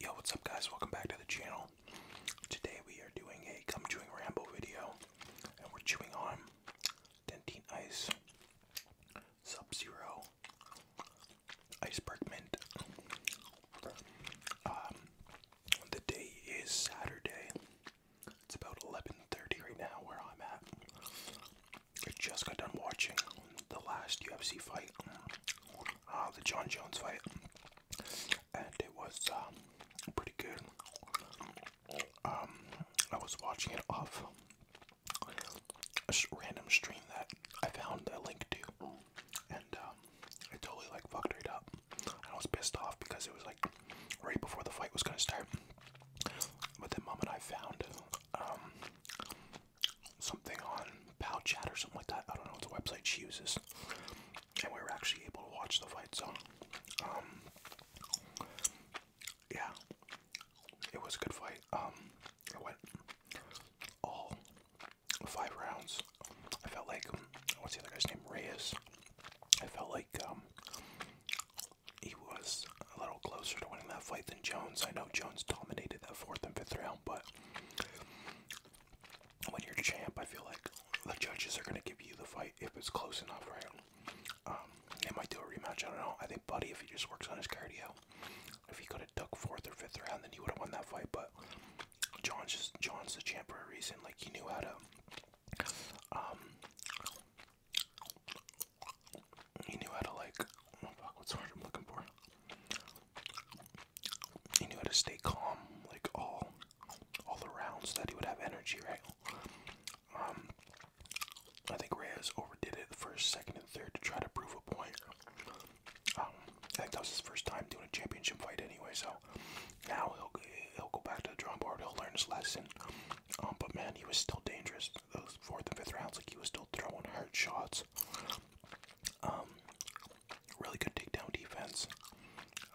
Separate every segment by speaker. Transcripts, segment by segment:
Speaker 1: Yo, what's up, guys? Welcome back to the channel. Today we are doing a gum chewing ramble video, and we're chewing on Dentine Ice, Sub Zero, Iceberg Mint. Um, the day is Saturday. It's about 11:30 right now where I'm at. I just got done watching the last UFC fight uh, the John Jones fight, and it was um, pretty good. Um, I was watching it off a random stream that I found a link to, and um, I totally like fucked it up. I was pissed off because it was like right before the fight was gonna start. But then mom and I found um, something on Pow Chat or something like that. I don't know. It's a website she uses, and we were actually able to watch the fight. So, um, yeah, it was a good fight. Um, it went all five rounds. I felt like um, what's the other guy's name? Reyes. I felt like he was a little closer to winning that fight than Jones. I know Jones dominated that fourth and fifth round but when you're champ, I feel like the judges are gonna give you the fight if it's close enough, right? Um, they might do a rematch. I don't know. I think Buddy, if he just works on his cardio, if he could have took fourth or fifth round, then he would have won that fight. But John's just John's the champ for a reason. Like he knew how to, um, he knew how to like. Oh what's the word I'm looking for? he knew how to stay calm, like all all around, so that he would have energy, right? Um, I think Reyes overdid it the first, second, and third to try to prove a point. Um, I think that was his first time doing a championship fight, anyway. So now he'll he'll go back to the drawing board. He'll learn his lesson. Um, but man, he was still dangerous. Those fourth and fifth rounds, like he was still throwing hard shots. Um, really good takedown defense.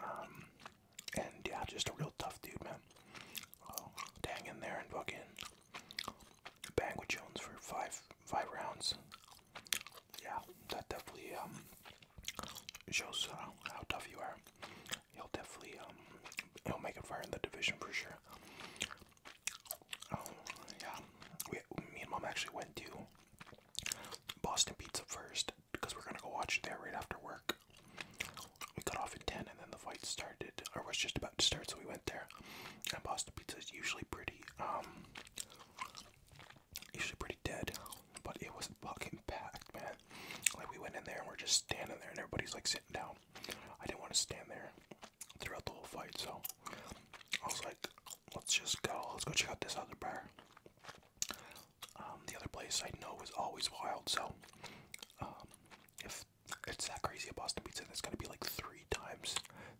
Speaker 1: Um, and yeah, just a real tough dude, man. Oh, dang in there and in. bang with Jones for five five rounds. Yeah, that definitely um shows uh, how tough you are. He'll definitely um he'll make it fire in the division for sure. Oh, yeah, we, me and mom actually went to Boston Pizza first because we're gonna go watch it there right after work. We got off at 10 and then the fight started, or was just about to start, so we went there. And Boston Pizza is usually pretty, um, usually pretty dead, but it was fucking packed, man. Like, we went in there and we're just standing there, and everybody's like sitting down. I didn't want to stand there throughout the whole fight, so I was like, let's just go, let's go check out this other bar. Um, the other place I know is always wild, so um, if it's that crazy at Boston Pizza, that's gonna be like three times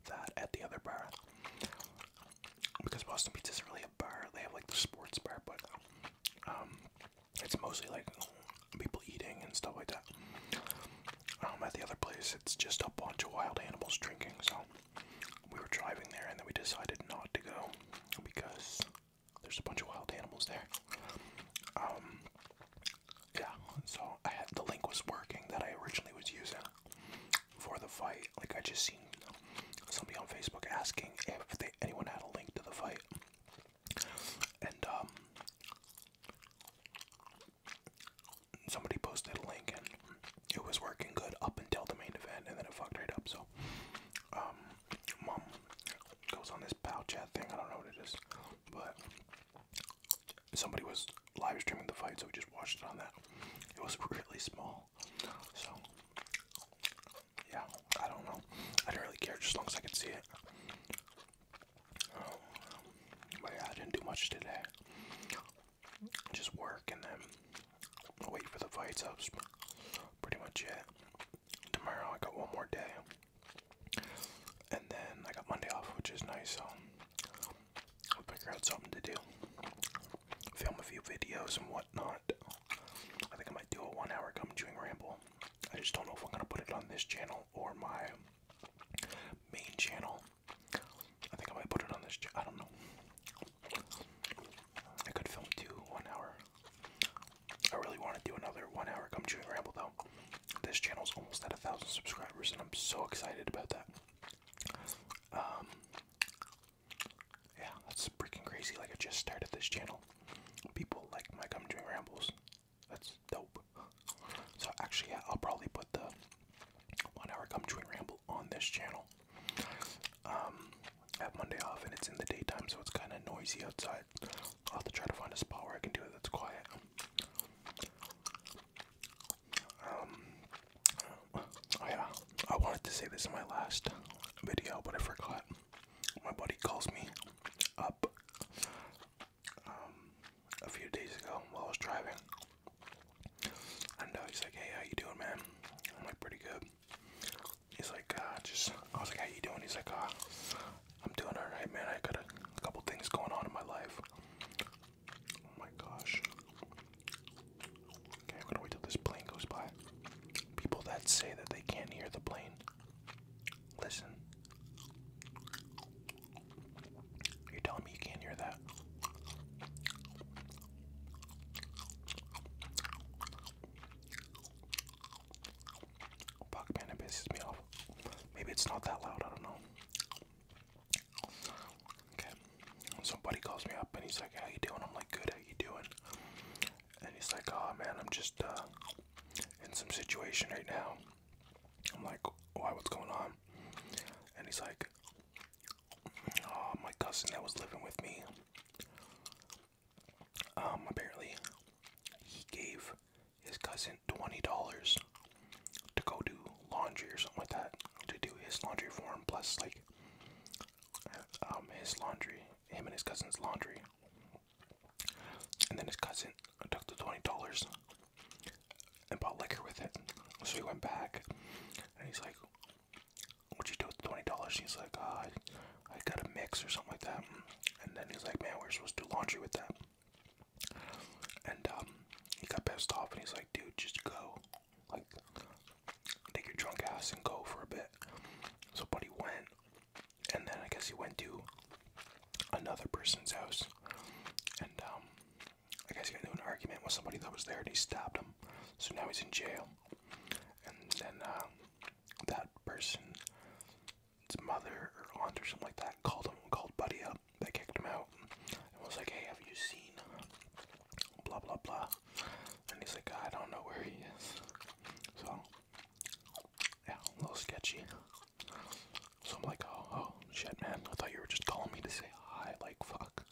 Speaker 1: that at the other bar. Because Boston Pizza is really a bar, they have like the sports bar, but um, it's mostly like people eating and stuff like that. I'm um, at the other place, it's just a bunch of wild animals drinking. So we were driving there, and then we decided not to go because there's a bunch of wild animals there. Um, yeah. So the link was working that I originally was using for the fight. Like I just seen somebody on Facebook asking if they, anyone had a link to the fight, and um, somebody posted a link and it was working good up until the main event and then it fucked right up. So, um, goes on this pal chat thing. I don't know what it is, but somebody was live streaming the fight, so we just watched it on that. It was really small, so yeah, I don't know. I didn't really care just as long as I could see it. Oh, I didn't do much today. Just work and then wait for the fights. That was pretty much it. Tomorrow I got one more day. And then I got Monday off, which is nice. So I'll figure out something to do. Film a few videos and whatnot. I think I might do a one hour gum chewing ramble. I just don't know if I'm going to put it on this channel or my main channel. I think I might put it on this. I don't know. I could film two one hour. I really want to do another one hour come chewing ramble though. This channel's almost at a thousand subscribers, and I'm so excited about that. Um, yeah, that's freaking crazy. Like I just started this channel. People like my come chewing rambles. That's dope. So actually, I'll probably put the one-hour come chewing ramble on this channel. Um, I have Monday off, and it's in the daytime, so it's kind of noisy outside. I'll have to try to find a spot where I can do it that's quiet. Um, oh yeah, I wanted to say this in my last video, but I forgot. My buddy calls me up um, a few days ago while I was driving. And uh, he's like, "Hey, how you doing, man?" I'm like, "Pretty good." He's like, uh, "Just," I was like, "How you doing?" He's like, uh, "I'm doing all right, man. I got a couple things going on in my life." Oh my gosh. Okay, I'm gonna wait till this plane goes by. People that say that they can't hear the plane, listen. You're telling me you can't hear that? Fuck, man, it pisses me off. Maybe it's not that loud, I don't know. Okay, somebody calls me up and he's like, how you doing? I'm like, good, how you doing? And he's like, oh man, I'm just uh, in some situation right now. I'm like, why? What's going on? And he's like, oh, my cousin that was living with me. Um, apparently, he gave his cousin twenty dollars to go do laundry or something like that, to do his laundry for him. Plus, like, um, his laundry, him and his cousin's laundry. And then his cousin took the twenty dollars and bought liquor with it. So he went back and he's like, What'd you do with twenty dollars? He's like, uh, I got a mix or something like that. And then he's like, Man, we're supposed to do laundry with that. And um, he got pissed off and he's like, Dude, just go. Like, take your drunk ass and go for a bit. So, Buddy went, and then I guess he went to another person's house. And um, I guess he got into an argument with somebody that was there and he stabbed him. So now he's in jail. And then uh, that person's mother or aunt or something like that called him, called Buddy up. They kicked him out and was like, hey, have you seen blah blah blah? And he's like, I don't know where he is. So, yeah, a little sketchy. So I'm like, oh, oh, shit, man. I thought you were just calling me to say hi. Like, fuck.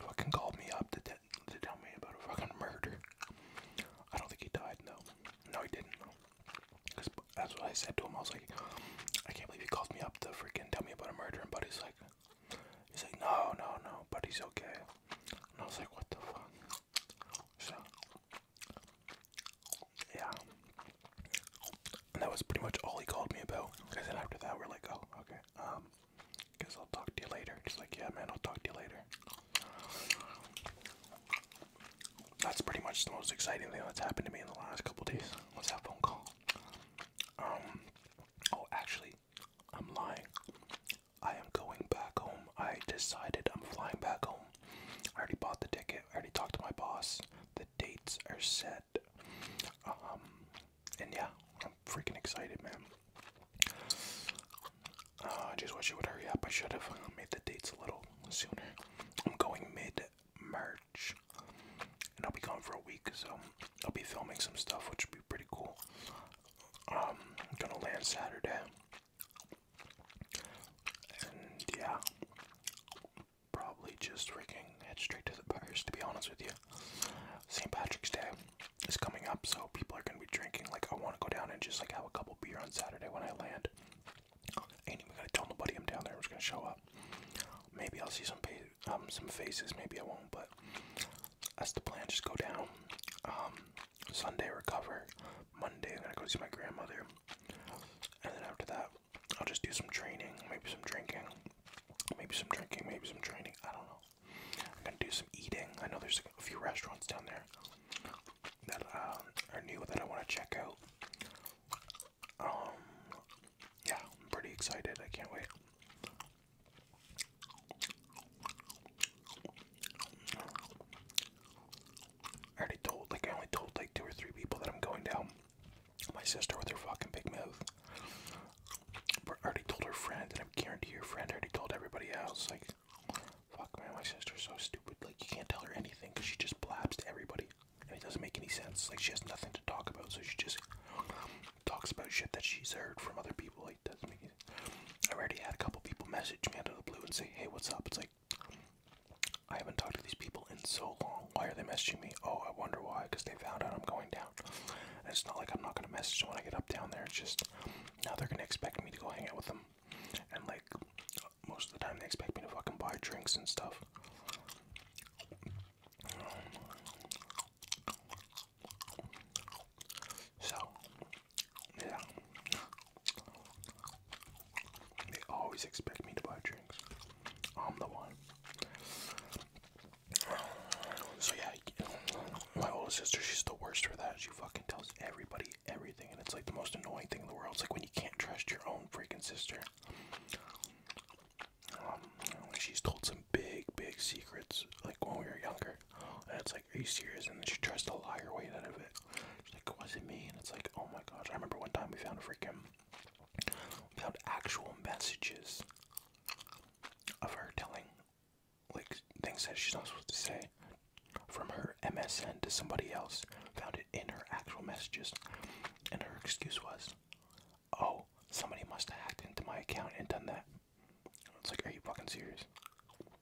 Speaker 1: Fucking called me up to, tell me about a fucking murder. I don't think he died, no. No, he didn't, no. Cause that's what I said to him. I was like, I can't believe he called me up to freaking tell me about a murder. And Buddy's like, he's like, no, no, no, Buddy's okay. And I was like, what the fuck? So, yeah. that was pretty much all he called me about. And then after that, we're like, oh, okay. Um, guess I'll talk to you later. Just like, yeah, man, I'll talk to you later. That's pretty much the most exciting thing that's happened to me in the last couple days. Was that phone call? Um. Oh, actually, I'm lying. I am going back home. I decided I'm flying back home. I already bought the ticket. I already talked to my boss. The dates are set. Um, and yeah, I'm freaking excited, man. I uh, just wish it would hurry up. I should have uh, made the dates a little sooner. I'm going mid March, and I'll be gone for a week, so I'll be filming some stuff, which would be pretty cool. Um, I'm gonna land Saturday, and yeah, probably just freaking head straight to the bars, to be honest with you. St. Patrick's Day is coming up, so people are gonna be drinking. Like, I want to go down and just like have a couple beer on Saturday when I land. Ain't even gonna tell nobody I'm down there. I'm just gonna show up. Maybe I'll see some um some faces. Maybe I won't, but that's the plan. Just go down. Um, Sunday recover. Monday I'm gonna go see my grandmother. And then after that, I'll just do some training, maybe some drinking, maybe some drinking, maybe some training. I don't know. I'm gonna do some eating. I know there's a few restaurants down there that um, are new that I want to check out. Um, yeah, I'm pretty excited. I can't wait. I already told, like I only told like two or three people that I'm going down. My sister with her fucking big mouth. But I already told her friend, and I'm guarantee your friend already told everybody else. Like, fuck man, my sister's so stupid. Like, you can't tell her anything because she just blabs to everybody, and it doesn't make any sense. Like, she has nothing to talk about, so she just talks about shit that she's heard from other people. Like, doesn't make. I already had a couple people message me out of the blue and say, "Hey, what's up?" It's like, I haven't talked to these people in so long. Why are they messaging me? Oh, I wonder why. Because they found out I'm going down. And it's not like I'm not going to message them when I get up down there. just now they're going to expect me to go hang out with them. And like most of the time, they expect me to fucking buy drinks and stuff. So, yeah. They always expect me to buy drinks. I'm the one. So yeah, my older sister, she's the worst for that. She fucking tells everybody everything, and it's like the most annoying thing in the world. It's like when you can't trust your own freaking sister. Um, she's told some big, big secrets, like when we were younger. And it's like, are you serious? And then she tries to lie her way out of it. She's like, was it me? And it's like, oh my gosh. I remember one time we found a freaking without actual messages of her telling like things that she's not supposed to say from her MSN to somebody else found it in her actual messages and her excuse was oh somebody must have hacked into my account and done that it's like are you fucking serious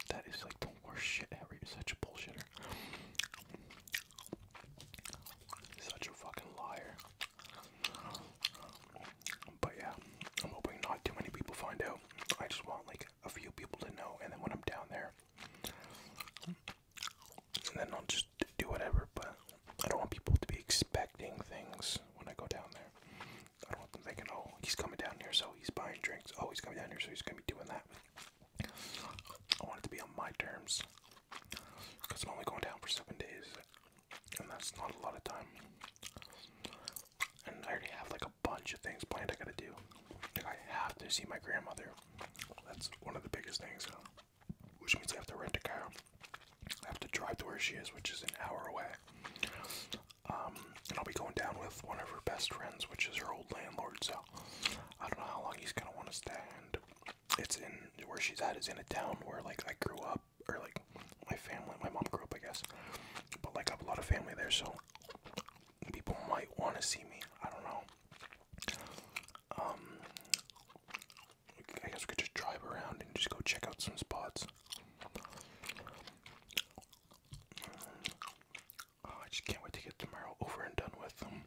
Speaker 1: that is like the worst shit ever you're such a bullshitter such a fucking liar. But yeah, I'm hoping not too many people find out. I just want like a few people to know, and then when I'm down there, and then I'll just do whatever. But I don't want people to be expecting things when I go down there. I don't want them thinking, oh, he's coming down here, so he's buying drinks. Oh, he's coming down here, so he's gonna be doing that. I want it to be on my terms because I'm only going down for seven days, and that's not a lot of time. And I already have like a bunch of things planned I gotta do. I have to see my grandmother. That's one of the biggest things. Which means I have to rent a car. I have to drive to where she is, which is an hour away. Um, and I'll be going down with one of her best friends, which is her old landlord. So I don't know how long he's gonna want to stay it's in where she's at is in a town where like I grew up or like my family, my mom grew up, I guess, but like I have a lot of family there, so people might want to see me. I don't know. Um, I guess we could just drive around and just go check out some spots. Oh, I just can't wait to get tomorrow over and done with. Um,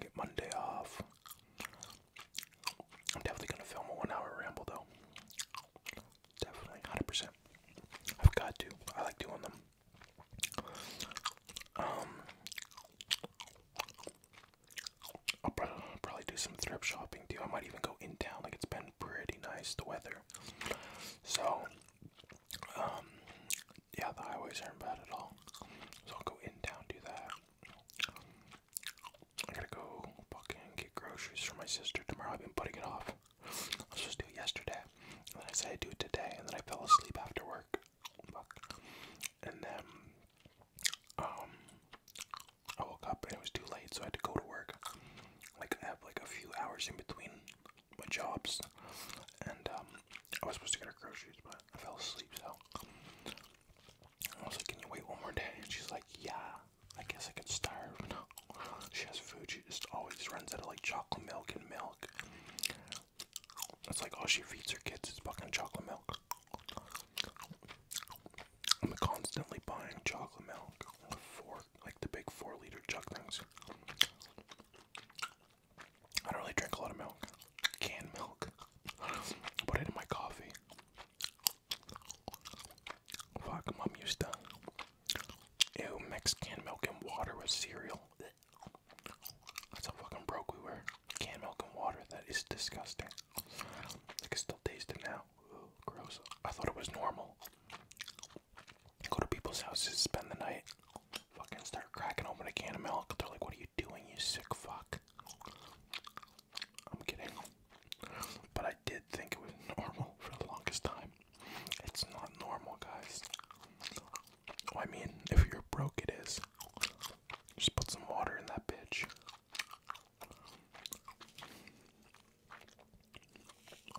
Speaker 1: get Monday off. I'm definitely gonna film a one-hour ramble though. Definitely, hundred percent. I've got to. I like doing them. Um, I'll probably do some thrift shopping too. I might even go in town. Like it's been pretty nice the weather. So um, yeah, the highways aren't bad at all. So I'll go in town, do that. I gotta go fucking get groceries for my sister tomorrow. I've been putting it off. I supposed to do it yesterday. And then I said I'd do it today, and then I fell asleep after work. Fuck. And then, um, I woke up and it was too late, so I had to go to work. Like, I have like a few hours in between my jobs, and um, I was supposed to get her groceries, but I fell asleep. So I was like, "Can you wait one more day?" And she's like, "Yeah, I guess I could starve." No, she has food. She just always runs out of like chocolate milk and milk. That's like all she feeds her kids is fucking chocolate milk. I'm constantly buying chocolate milk, four like the big four liter jug things. I don't really drink a lot of milk, canned milk. Put it in my coffee. Fuck, mom used to. Ew, mix canned milk and water with cereal. That's how fucking broke we were. Canned milk and water, that is disgusting. I can still taste it now. gross. I thought it was normal. Go to people's houses, spend the night, fucking start cracking open a can of milk. They're like, what are you doing, you sick fuck? I'm kidding. But I did think it was normal for the longest time. It's not normal, guys. I mean, if you're broke, it is. Just put some water in that bitch.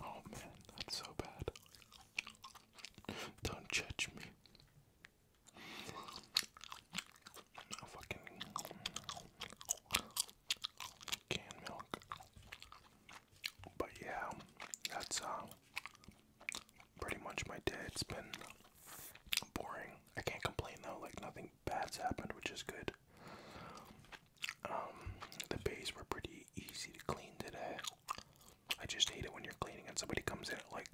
Speaker 1: Oh man, that's so bad. Don't judge me. fucking canned milk. But yeah, that's uh, pretty much my day. It's been boring. I can't complain though. Like nothing bad's happened, which is good. Um, the bays were pretty easy to clean today. I just hate it when you're cleaning and somebody comes in at like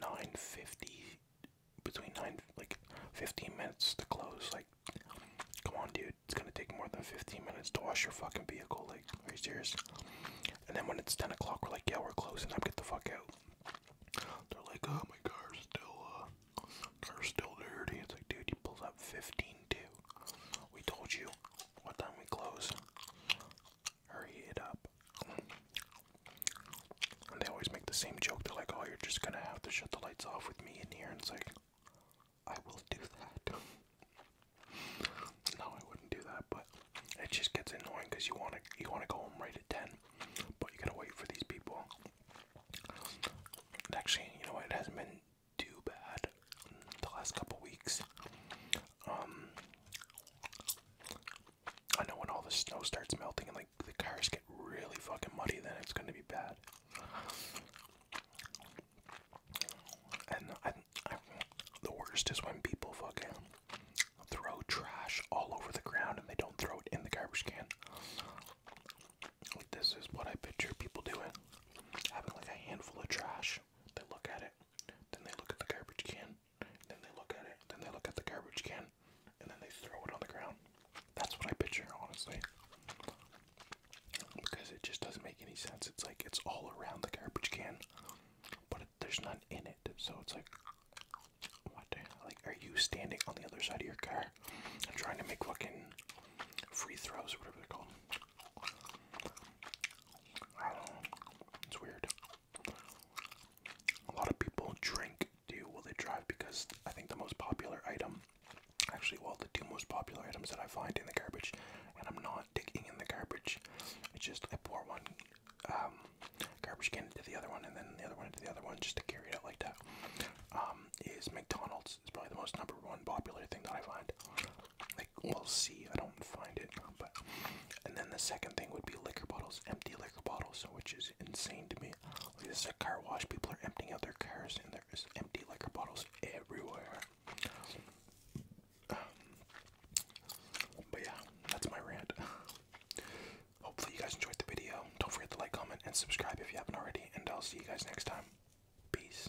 Speaker 1: 9:50, between nine like 15 minutes to close. Like, come on, dude, it's gonna take more than 15 minutes to wash your fucking vehicle. Like, are you serious? And then when it's 10 o'clock, we're like, yeah, we're closing i up, get the fuck out. They're like, oh my car's still, uh, car's still dirty. It's like, dude, you pulled up 15 too. We told you what time we close. Hurry it up. they always make the same joke. They're like, oh, you're just gonna have to shut the lights off with me in here. And it's like, I will do that. no, I wouldn't do that, but it just gets annoying because you wanna you wanna go home right at ten, but you gotta wait for these people. actually, you know what? It hasn't been too bad the last couple weeks. Um, I know when all the snow starts melting and like the cars get really fucking muddy, then it's gonna be bad. And the worst is when people fucking throw trash all over the ground and they don't throw it in the garbage can. this is what I picture people doing. Having like a handful of trash. They look at it, then they look at the garbage can. Then they look at it. Then they look at the garbage can. And then they throw it on the ground. That's what I picture, honestly. Because it just doesn't make any sense. It's like it's all around the garbage can, but there's none in it. So it's like, what? Like, are you standing on the other side of your car and trying to make fucking free throws or whatever they're called? I It's weird. A lot of people drink, do while they drive because I think the most popular item, actually, well, the two most popular items that I find in the garbage, and I'm not digging in the garbage. It's just I pour one um, garbage can into the other one, and then the other one into the other one, just to carry it out like that. Um, is McDonald's? It's probably the most number one popular thing that I find. Like we'll see. I don't find it, but and then the second thing would be liquor bottles, empty liquor bottles, which is insane to me. Like this at car wash. People are emptying out their cars, and there's empty liquor bottles everywhere. but yeah, that's my rant. Hopefully you guys enjoyed the video. Don't forget to like, comment, and subscribe if you haven't already. And I'll see you guys next time. Peace.